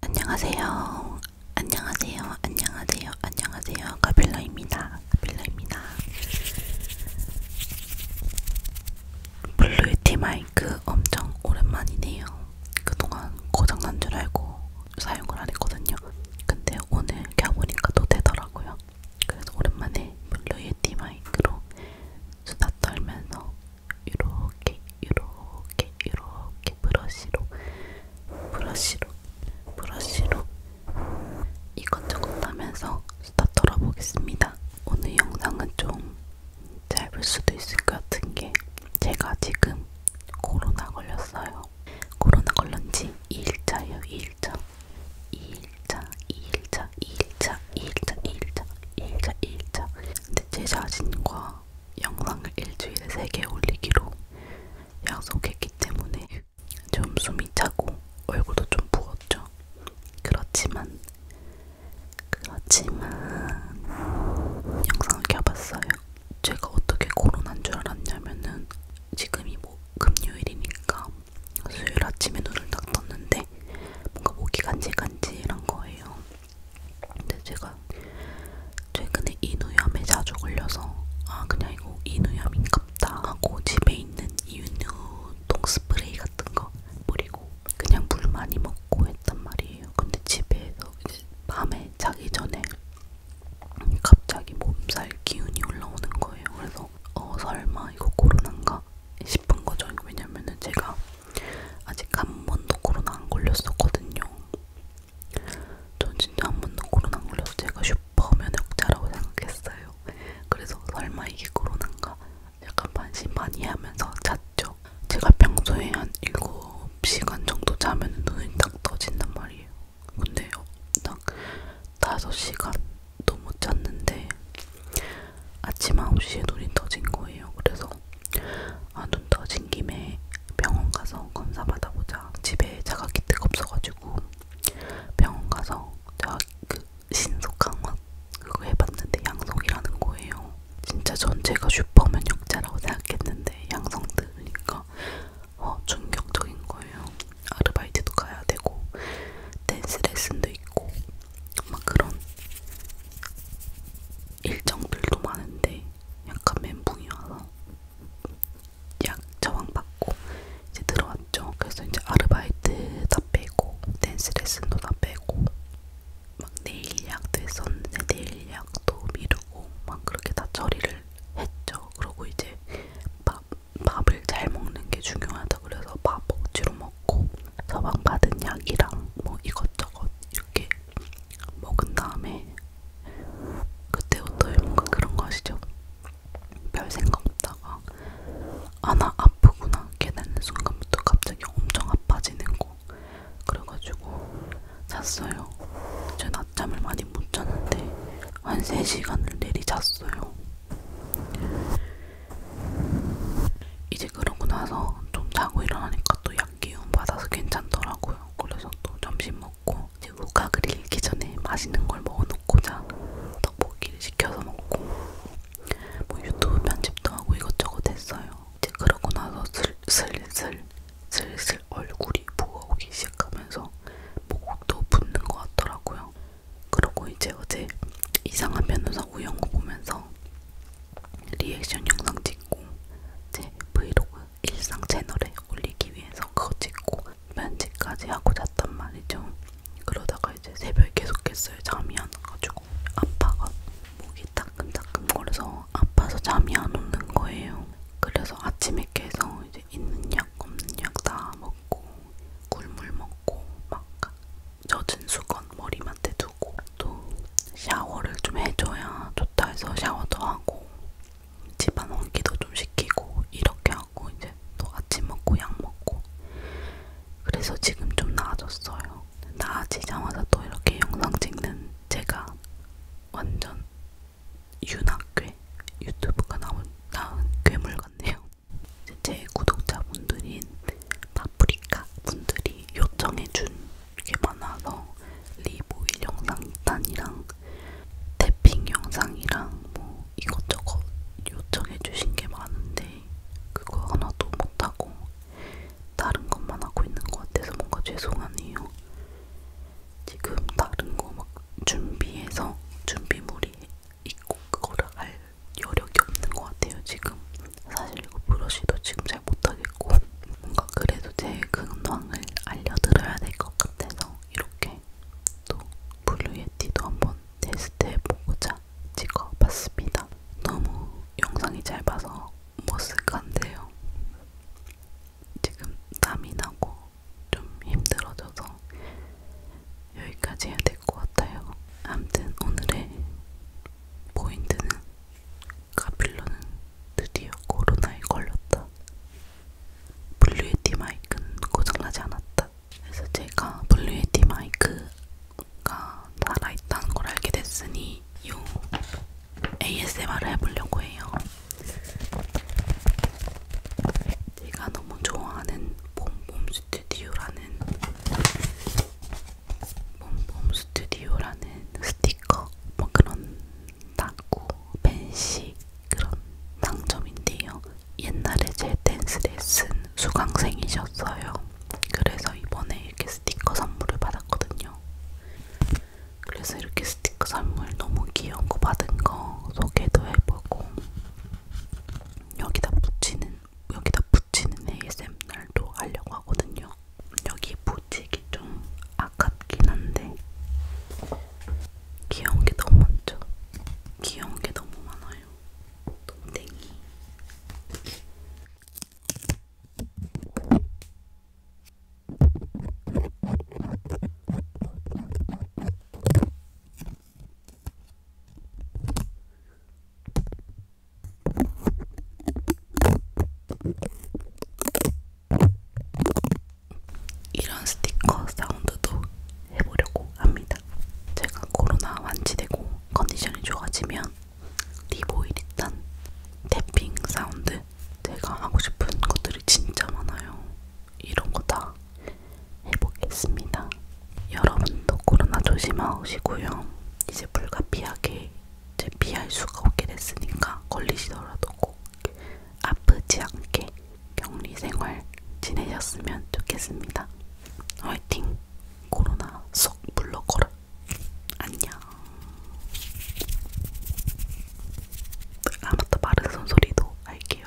안녕하세요. 안녕하세요. 안녕하세요. 안녕하세요. 가빌라입니다. 가빌라입니다. 블루티 마이크 엄청 오랜만이네요. 그동안 고장난 줄 알고 사용을 안 했거든요. 근데 오늘 켜보니까 또 되더라고요. 그래서 오랜만에 블루티 마이크로 수다 떨면서 이렇게 이렇게 이렇게 브러쉬로 브러쉬로 브러쉬로 이것저것 하면서 수다 떨어보겠습니다. 오늘 영상은 좀 짧을 수도 있을 것 같은 게 제가 지금 코로나 걸렸어요. 코로나 걸린 지 2일차예요. 2일차. 2일차, 2일차, 2일차, 2일차, 2일차, 2일차, 2일차. 근데 제 자신과 영상을 일주일에 3개 올리기로 약속했기 때문에 좀 숨이 차고 얼굴도 좀 부었죠. 그렇지만 그렇지만 영상을 켜봤어요. 제가 어떻게 코로나인 줄 알았냐면은 지금이 뭐 금요일이니까 수요일 아침에 눈을 딱 떴는데 뭔가 목이 뭐 간질간질한 거예요. 근데 제가 최근에 인후염에 자주 걸려서 아 그냥 이거 인후염인갑다 하고 집에 있는 인후동 스프레이 같은 거 뿌리고 그냥 물 많이 먹고 했단 말이에요. 근데 집에서 이제 밤에 자기 전에 갑자기 몸살 기운이 올라오는 거예요. 그래서 어 설마 이거 코로나인가 싶은 거죠. 왜냐면은 제가 아직 한 번도 코로나 안 걸렸었거든요. 전 진짜 한 번도 코로나 안 걸려서 제가 슈퍼 면역자라고 생각했어요. 그래서 설마 이게 코로나인가 약간 반신반의하면서 잤죠. 제가 평소에 한 7시간 정도 자면 눈이 딱 떠진단 말이에요. 근데 딱 5시간도 못 잤는데 아침 9시에 눈이 떠진 거예요. 그래서 아, 눈 떠진 김에 병원 가서 검사 받아보자. 집에 자가기트가 없어가지고 병원 가서 제가 그 신속항원 그거 해봤는데 양성이라는 거예요. 진짜 전체가 슈퍼맨 역자라고 생각했는데 양성 들으니까 어, 충격적인 거예요. 아르바이트도 가야 되고 댄스 레슨도 있고 막 그런 일정들도 많은데 약간 멘붕이 와서 약 처방 받고 이제 들어왔죠. 그래서 이제 아르바이트 다 빼고 댄스 레슨도 다 빼고 막 내일 예약도 했었는데 내일 예약도 미루고 막 그렇게 다 처리를 했죠. 그러고 이제 밥 밥을 잘 먹는 게 중요하다 그래서 밥 억지로 먹 먹고 처방받은 약이랑 뭐 이것저것 이렇게 먹은 다음에 그때부터 뭔가 그런 거 아시죠? 별 생각 없다가 아 나 아프구나 깨닫는 순간부터 갑자기 엄청 아파지는 거 그래가지고 잤어요. 제 낮잠을 많이 못 잤는데 한 3시간을 내리 잤어요. 이제 그러고 나서 좀 자고 일어나니까 또 약 기운 받아서 괜찮더라고요. 그래서 또 점심 먹고 이제 우각을 읽기 전에 맛있는 걸 먹어놓고 자 떡볶이를 시켜서 먹고 뭐 유튜브 편집도 하고 이것저것 했어요. 이제 그러고 나서 슬, 슬슬 슬슬 얼굴이 부어오기 시작하면서 목도 붓는 것 같더라고요. 그리고 이제 어제 이상한 변호사 우영우 보면서 리액션 영상 찍고 제 브이로그 일상 채널에 올리기 위해서 그거 찍고 면직까지 하고 잤단 말이죠. 그러다가 이제 새벽에 계속했어요. 잠이 안 와가지고 아빠가 목이 따끔따끔 거려서 아파서 잠이 안 오는 거예요. 그래서 아침에 깨서 이제 있는 약 없는 약 다 먹고 꿀물 먹고 막 젖은 수건 머리맡에 두고 또 샤워를 좀 해줘야 좋다 해서 샤워도 하고 집안 환기도 좀 시키고 이렇게 하고 이제 또 아침 먹고 약 먹고 그래서 지금 좀 나아졌어요. 나아지자마자 또 이렇게 영상 찍는 제가 완전 유나괴 유튜브가 나온, 나은 괴물 같네요. 제 구독자분들인 파프리카 분들이 요청해준 게 많아서 리보일 영상 2탄이랑 태핑 영상이랑 뭐 이것저것 요청해주신 게 많은데 그거 하나도 못하고 다른 것만 하고 있는 것 같아서 뭔가 죄송하네요. 지금 다른 거 막 준비해서 준비물이 있고 그거를 알 여력이 없는 것 같아요 지금 사실 이거 브러쉬도 지금 잘 못하겠고 뭔가 그래도 제 근황을 알려드려야 될 것 같아서 이렇게 또 블루예티도 한번 테스트해보고자 찍어봤습니다 너무 영상이 짧아서 머쓱한데요 지금 땀이 나고 좀 힘들어져서 여기까지 해야 될 것 같아요. 아무튼 오늘의 포인트는 카필러는 드디어 코로나에 걸렸다. 블루에티 마이크는 고장나지 않았다. 그래서 제가 블루에티 마이크가 살아있다는 걸 알게 됐으니 요 ASMR을 해보려고 해요. 제가 너무 좋아하는 봄봄 스튜디오라는 봄봄 스튜디오라는 스티커 뭐 그런 낙구, 벤시 그런 상점인데요. 옛날에 제 댄스 레슨 수강생이셨어요. 그래서 이번에 이렇게 스티커 선물을 받았거든요. 그래서 이렇게 스티커 선물 너무 귀여운 거 받은 거 소개도 해보고 여기다 붙이는 여기다 붙이는 ASM 날도 하려고 하거든요. 여기 붙이기 좀 아깝긴 한데 귀여운 게 너무 많죠. 귀여운 게 너무 많아요. 동댕이. 이런 스티커 사운드도 해보려고 합니다. 제가 코로나 완치되고 컨디션이 좋아지면 리보일이탄 탭핑 사운드 제가 하고 싶은 것들이 진짜 많아요. 이런 거다 해보겠습니다. 여러분도 코로나 조심하시고요. 이제 불가피하게 이제 피할 수가 없게 됐으니까 걸리시더라도 꼭 아프지 않게 격리 생활 지내셨으면 좋겠습니다. 화이팅! 코로나 쏙 물러거라. 안녕. 아무튼 마른 손소리도 할게요.